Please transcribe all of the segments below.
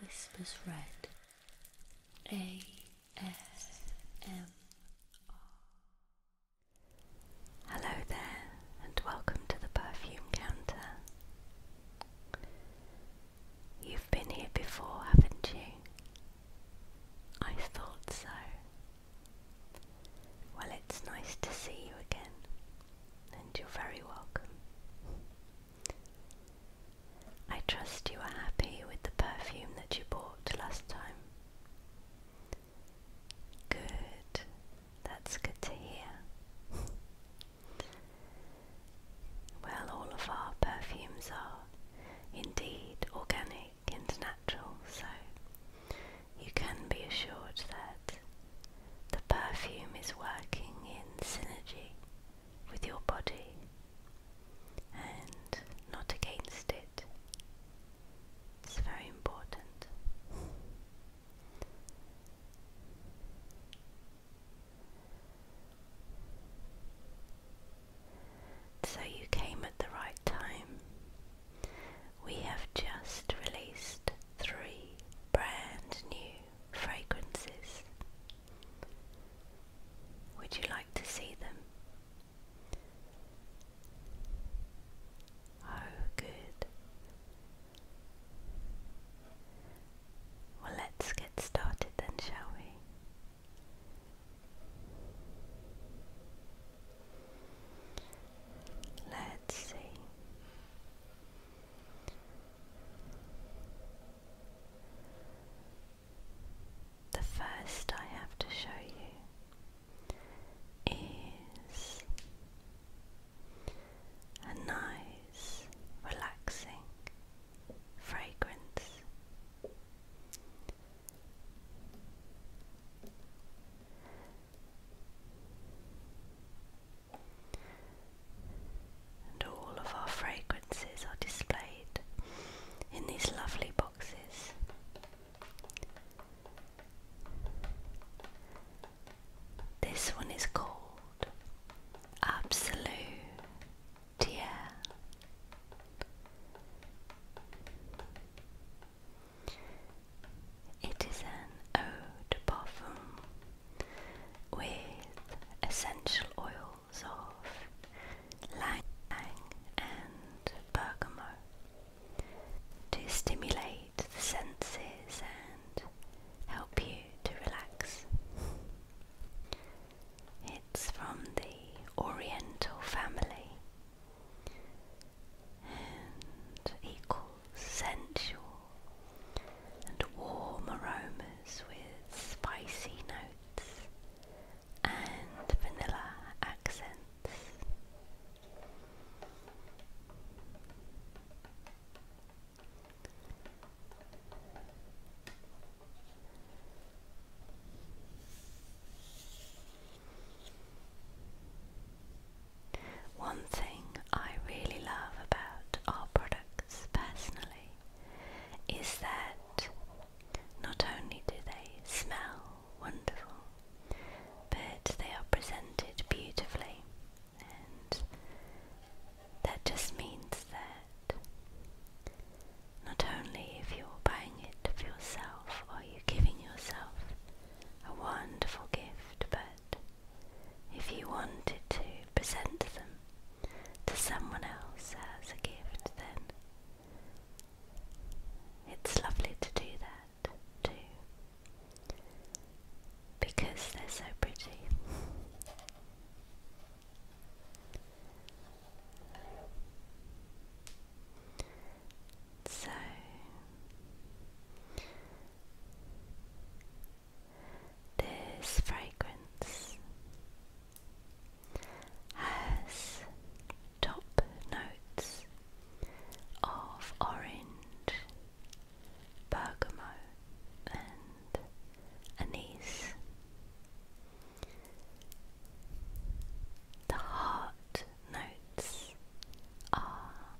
Whispers Red A S M R Hello there and welcome to the perfume counter. You've been here before, haven't you? I thought so. Well, it's nice to see you again, and you're very welcome. I trust you are happy with the perfume that you bought last time. Good. That's good to hear. well, all of our perfumes are indeed organic and natural, so you can be assured that the perfume is working in synergy with your body and not against it. It's very important. So you came at the right time. We have just released three brand new fragrances. Would you like to see them? Oh, good. Well, let's get started then, shall we? Let's see. The first I have to show you is a nice, relaxing fragrance. And all of our fragrances are displayed in these lovely boxes. This one is called Absolutier. It is an eau de parfum with essential oils of lang and bergamot to stimulate the senses and help you to relax. It's from the Oriental family and equals sensual and warm aromas with spicy notes and vanilla accents. One thing I really love about our products personally is that not only do they smell wonderful, but they are presented beautifully, and that just means that not only if you're buying it for yourself, are you giving yourself a wonderful gift, but if you wanted to present them to someone else as a gift, then it's lovely to do that too because they're so pretty. So, this fragrance has top notes of orange, bergamot, and anise. The heart notes are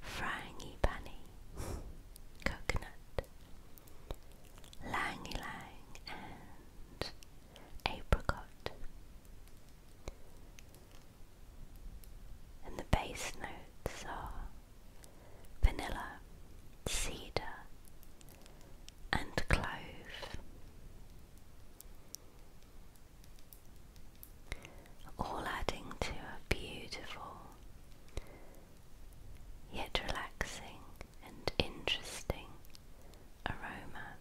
Frangipani, coconut, langy lang, and apricot. And the base notes are vanilla, cedar, and clove all adding to a beautiful, yet relaxing and interesting aroma.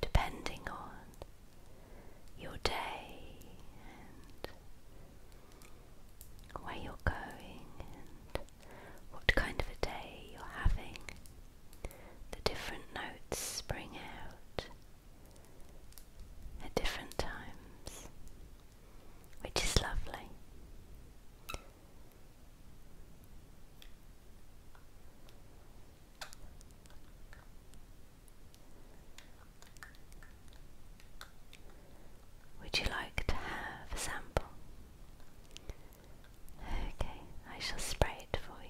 Depending on your day and where you're going and what kind of a day you're having, the different notes spring out at different times, which is lovely. Would you like to have a sample? Okay, I shall spray it for you.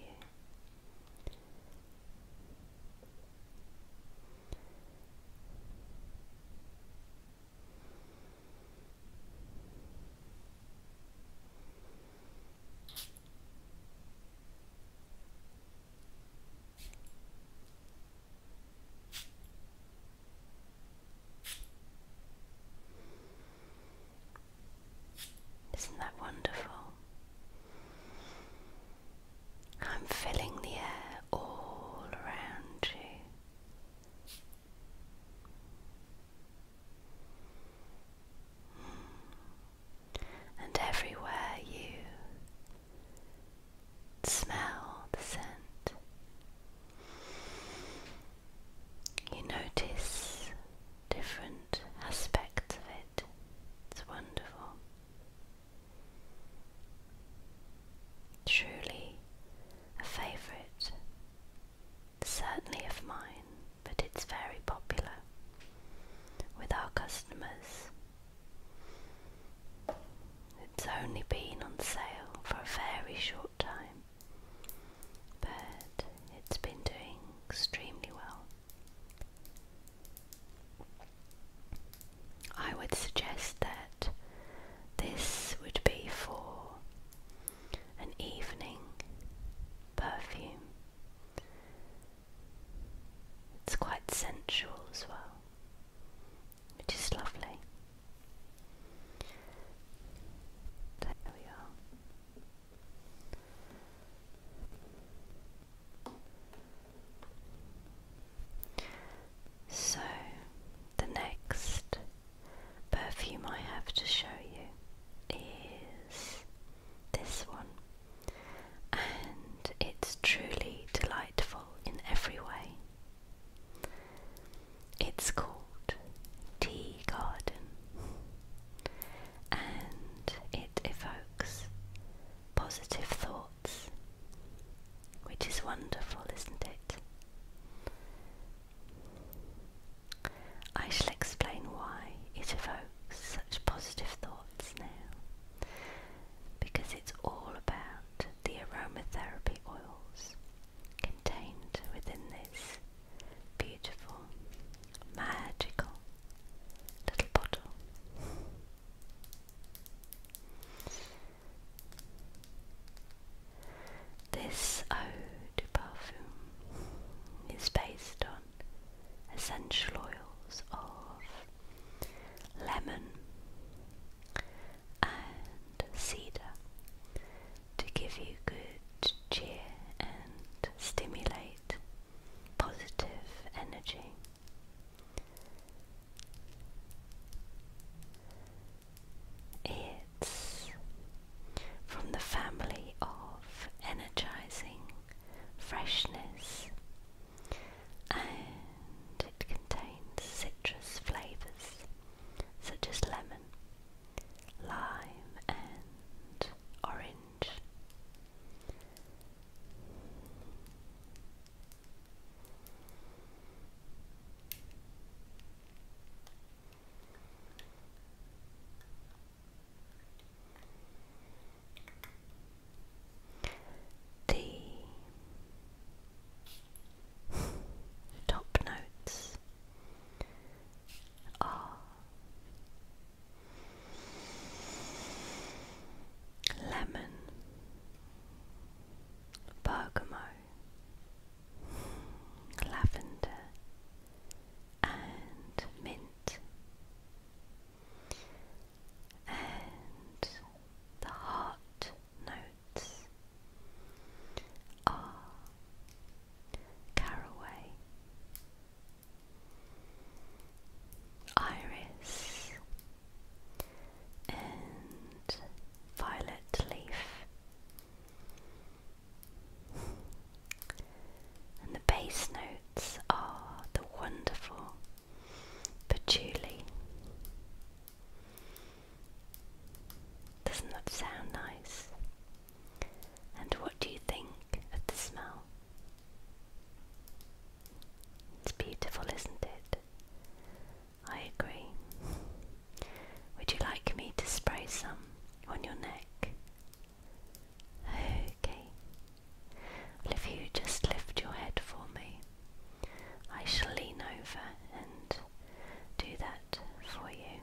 Isn't that wonderful? I'm filling the air all around you. Mm. And everywhere you smell the scent, you notice different aspects of it. It's wonderful. Truly a favourite, certainly of mine, but it's very popular with our customers. It's only been on sale for a very short time, but it's been doing extremely well. I would suggest that this would be for an evening perfume. It's quite sensual as well, which is lovely. There we are. So, the next perfume I have to show you is this one, and it's truly delightful in every way. It's called Tea Garden and it evokes positive thoughts, which is wonderful, isn't it? I shall explain why it evokes such positive thoughts now because it's all about the aromatherapy oils contained within this beautiful, magical little bottle. This eau de parfum is based on essential oils of lemon and cedar to give you good cheer and stimulate positive energy. It's from the family of energizing freshness and it contains citrus flavors such as lemon lime and orange. D Top notes are lemon, bergamot, lavender, and mint. And the heart note words caraway, iris, and violet leaf. And the bass notes are the wonderful patchouli, doesn't that sound nice? And what do you think of the smell? It's beautiful, isn't it? I agree. Would you like me to spray some on your neck? Okay. if you just lift your head for me, I shall lean over and do that for you.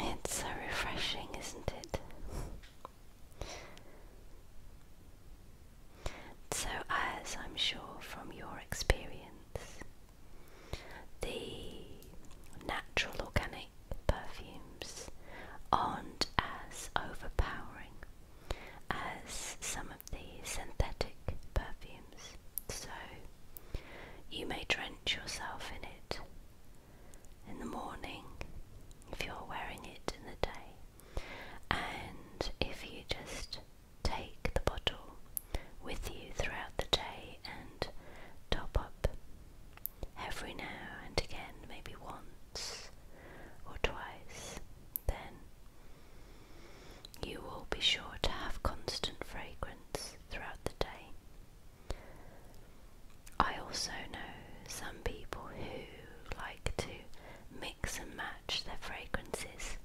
It's so refreshing, isn't it? So, as I'm sure from your experience, the natural organic perfumes aren't as overpowering as some of the synthetic perfumes. So, you may drench yourself in it in the morning if you're wearing it in the day. And if you just take the bottle with you throughout the day and top up every now and again, maybe once or twice, then you will be sure to have constant fragrance throughout the day. I also know some people who like to mix and match their fragrances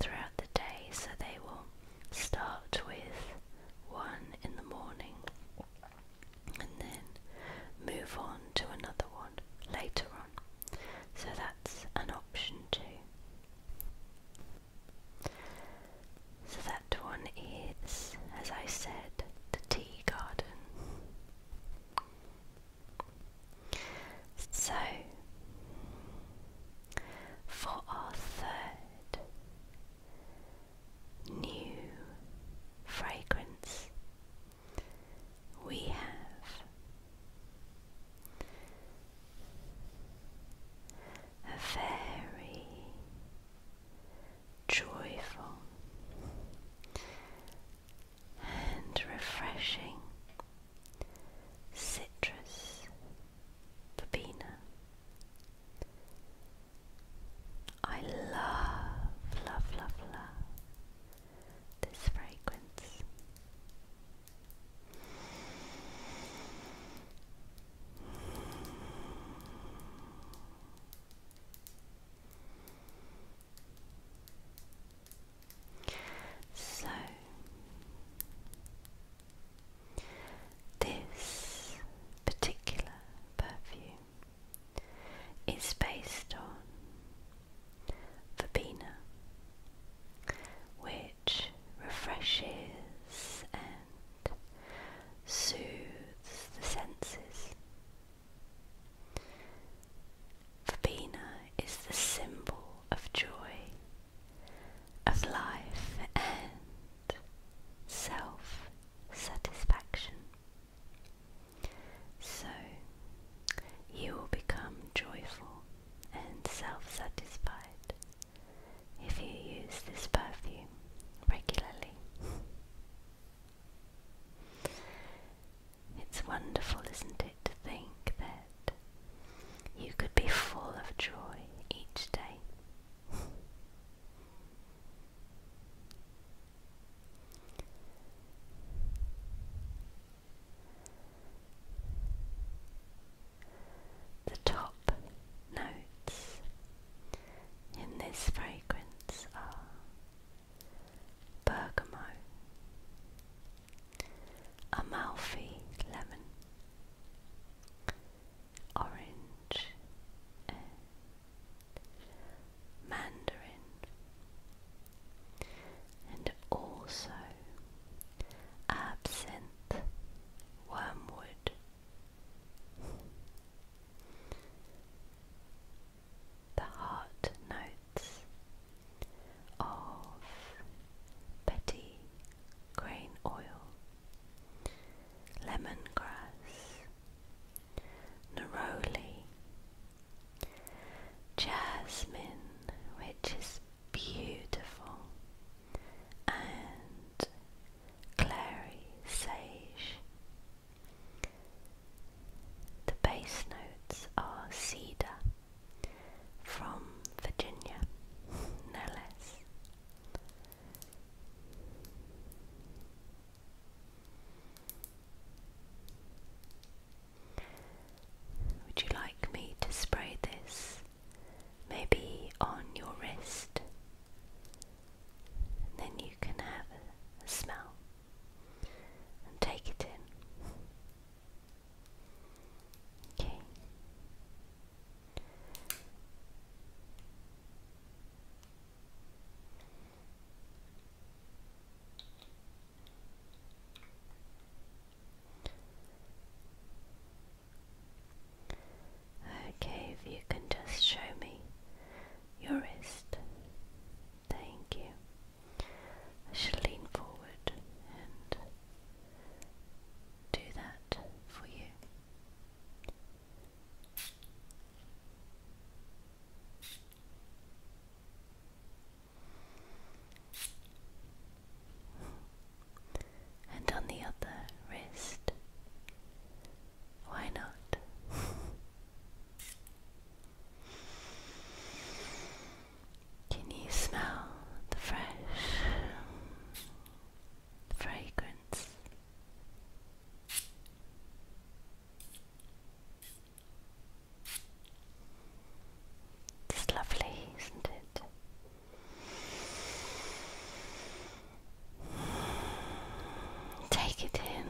throughout the day, so they will start with one in the morning and then move on to another one later on. So that's an option too. So that one is, as I said, the tea garden. So, for our third new fragrance, we have a very joyful and refreshing citrus verbena. I love, love, love, love this fragrance. So, this particular perfume is based on verbena, which refreshes soothes the senses. Verbena is the symbol of joy, of life and self satisfaction. So you will become joyful and self satisfied if you use this perfume regularly. It's wonderful, isn't it, to think that you could be full of joy each day the top notes in this fragrance are bergamot, amalfi lemon, orange, mandarin, and also absinthe, wormwood. The heart notes of Betty grain oil, lemongrass, neroli, jasmine, which is beautiful, and clary sage. The bass notes are cedar from Virginia, no less. Would you like me to spray this maybe on your wrist. then you can have a smell and take it in. Okay. Okay, if you can just show me your wrist. Thank you. I should lean forward and do that for you and on the other wrist. Why not? Can you smell the fresh fragrance? It's lovely, isn't it? Take it in.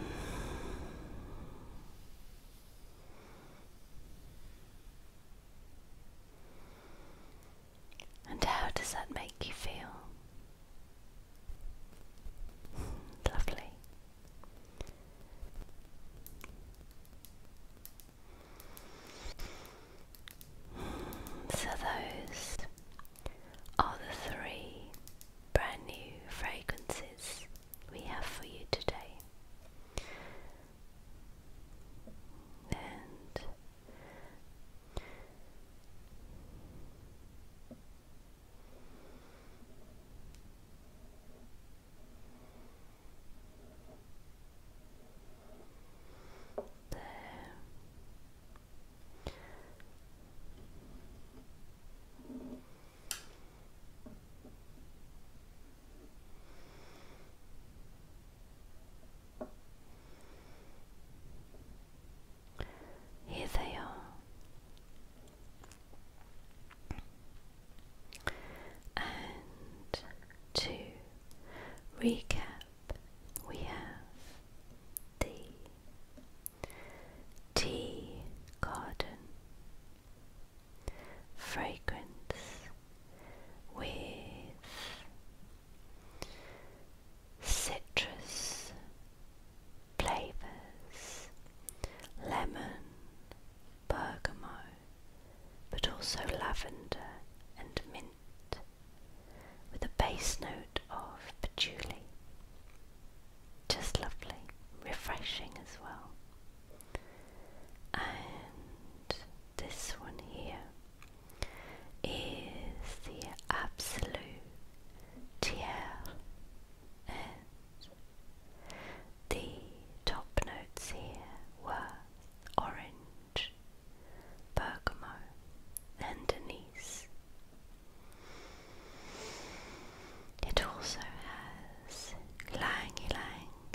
And how does that make you feel? Lovely. So, those are the three brand new fragrances we have for you today. And there. Here they are, and two recap, we have the tea garden, fragrance with citrus flavors, lemon, bergamot, but also lavender and mint, with a base note of patchouli. Just lovely, refreshing as well. And this one here is the Absolute Tiers. And the top notes here were orange, Bergamo, and Denise. It also has Langy Lang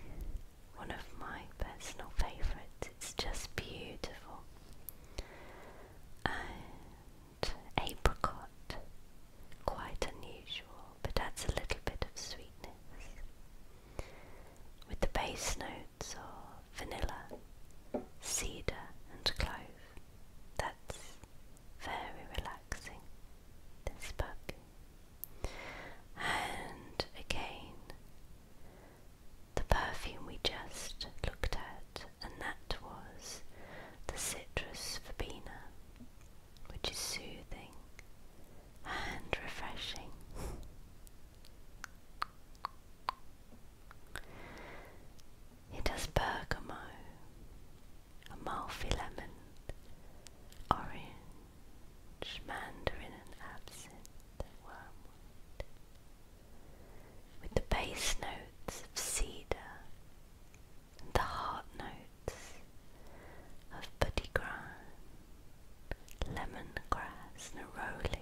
one of my personal favourites. It's just beautiful. apricot, quite unusual, but adds a little bit of sweetness with the base notes of vanilla, cedar, and clove. That's very relaxing. This book. And again, the perfume we just looked at, and that was the citrus verbena, which is soothing and refreshing. It has bergamo, amalfi lemon, orange, mandarin and absinthe with the base notes of cedar and the heart notes of buddy lemongrass neroli,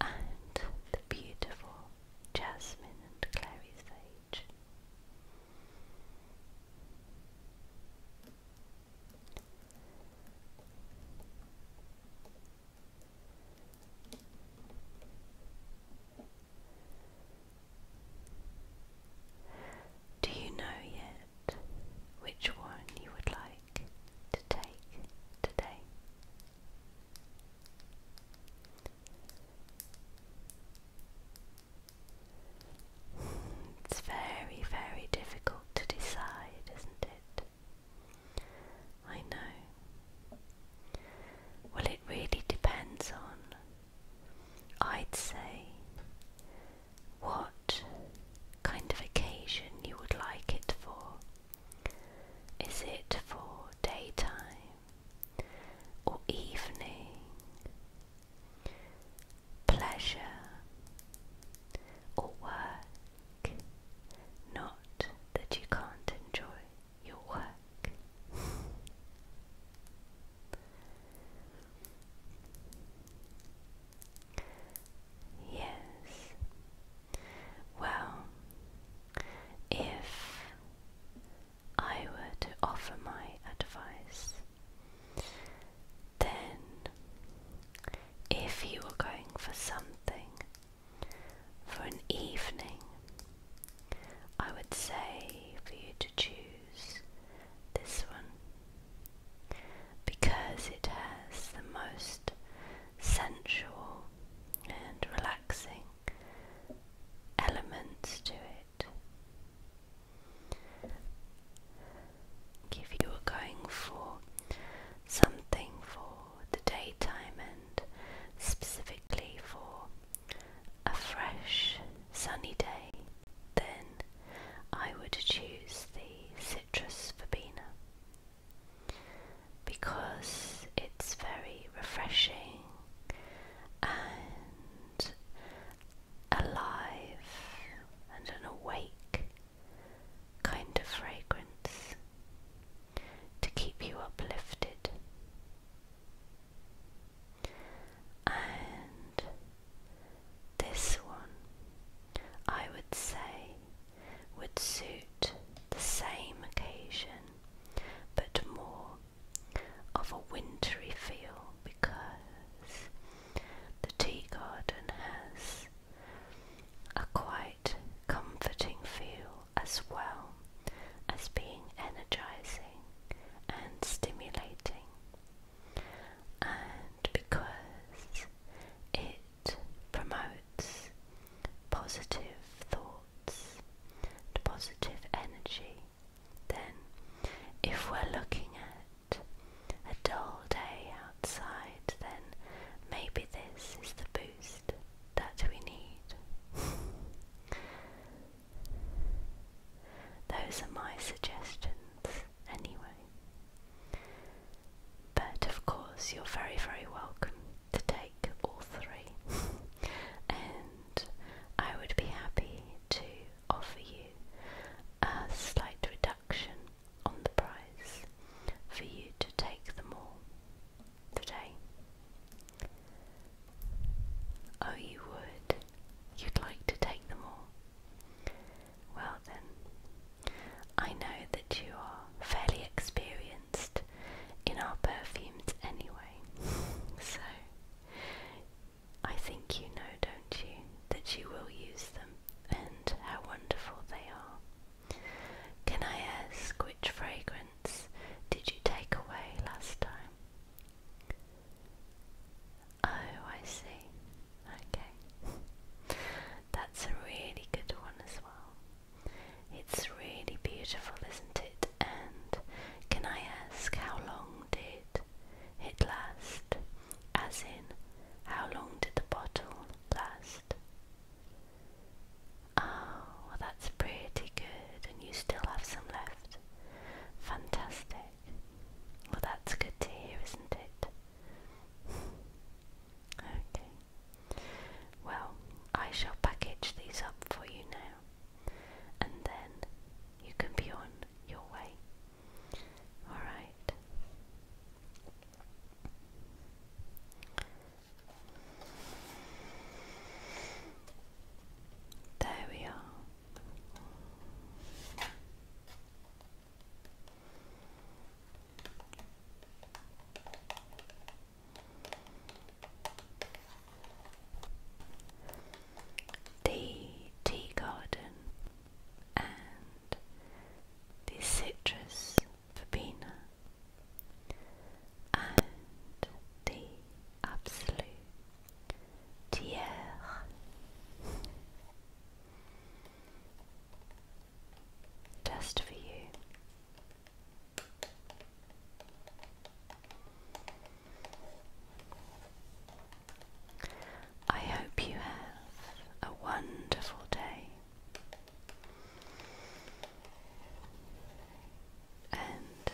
and the beautiful jasmine and clary sage. Do you know yet which one you would like to take today. It's very, very difficult to decide, isn't it? I know. Well, it really depends on, I'd say, what kind of occasion you would like it for. Is it for daytime or evening? Pleasure or work? Not that you can't enjoy your work. Yes. Well, if I were to offer my advice, then if you were going for something for an evening, I would say for you to choose this one because it has the most sensual and relaxing elements to it. If you were going for something for the daytime and specifically for a fresh sunny day, then I would choose the citrus verbena because it's very refreshing and alive and an awake kind of fragrance to keep you uplifted. And this one, I would say, would suit the same occasion but more of a wintry feel because the tea garden has a quite comforting feel as well as being energizing and stimulating and because it promotes positive thoughts and positive energy, then if we're looking at a dull day outside, then maybe this is the boost that we need. Those are my suggestions, anyway. But of course, you're very, very welcome to take all three, and I would be happy to offer you a slight reduction on the price for you to take them all today. Oh, you would? you'd like to take them all. Well, then, I know that you are fairly experienced in our perfumes anyway, so I think you know, don't you, that you will use them and how wonderful they are. Can I ask which fragrance did you take away last time? Oh, I see. Okay. That's a really good one as well. It's really beautiful, isn't it? And can I ask how long did it last? As in, how long did the bottle last? Oh, well that's pretty good, and you still have some left. Fantastic. Well, that's good to hear, isn't it? okay. Well, I shall package these up for you now, and then you can be on your way. Alright. There we are. The tea garden and the citrus verbena and the absolute d'hier. Just for you. I hope you have a wonderful day and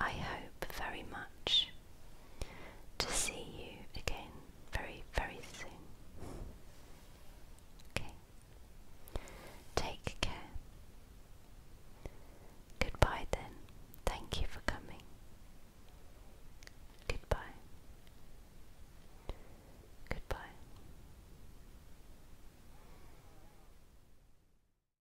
I hope very much to see you again very, very soon. Okay. Take care. Goodbye then. Thank you for coming. Goodbye. Goodbye.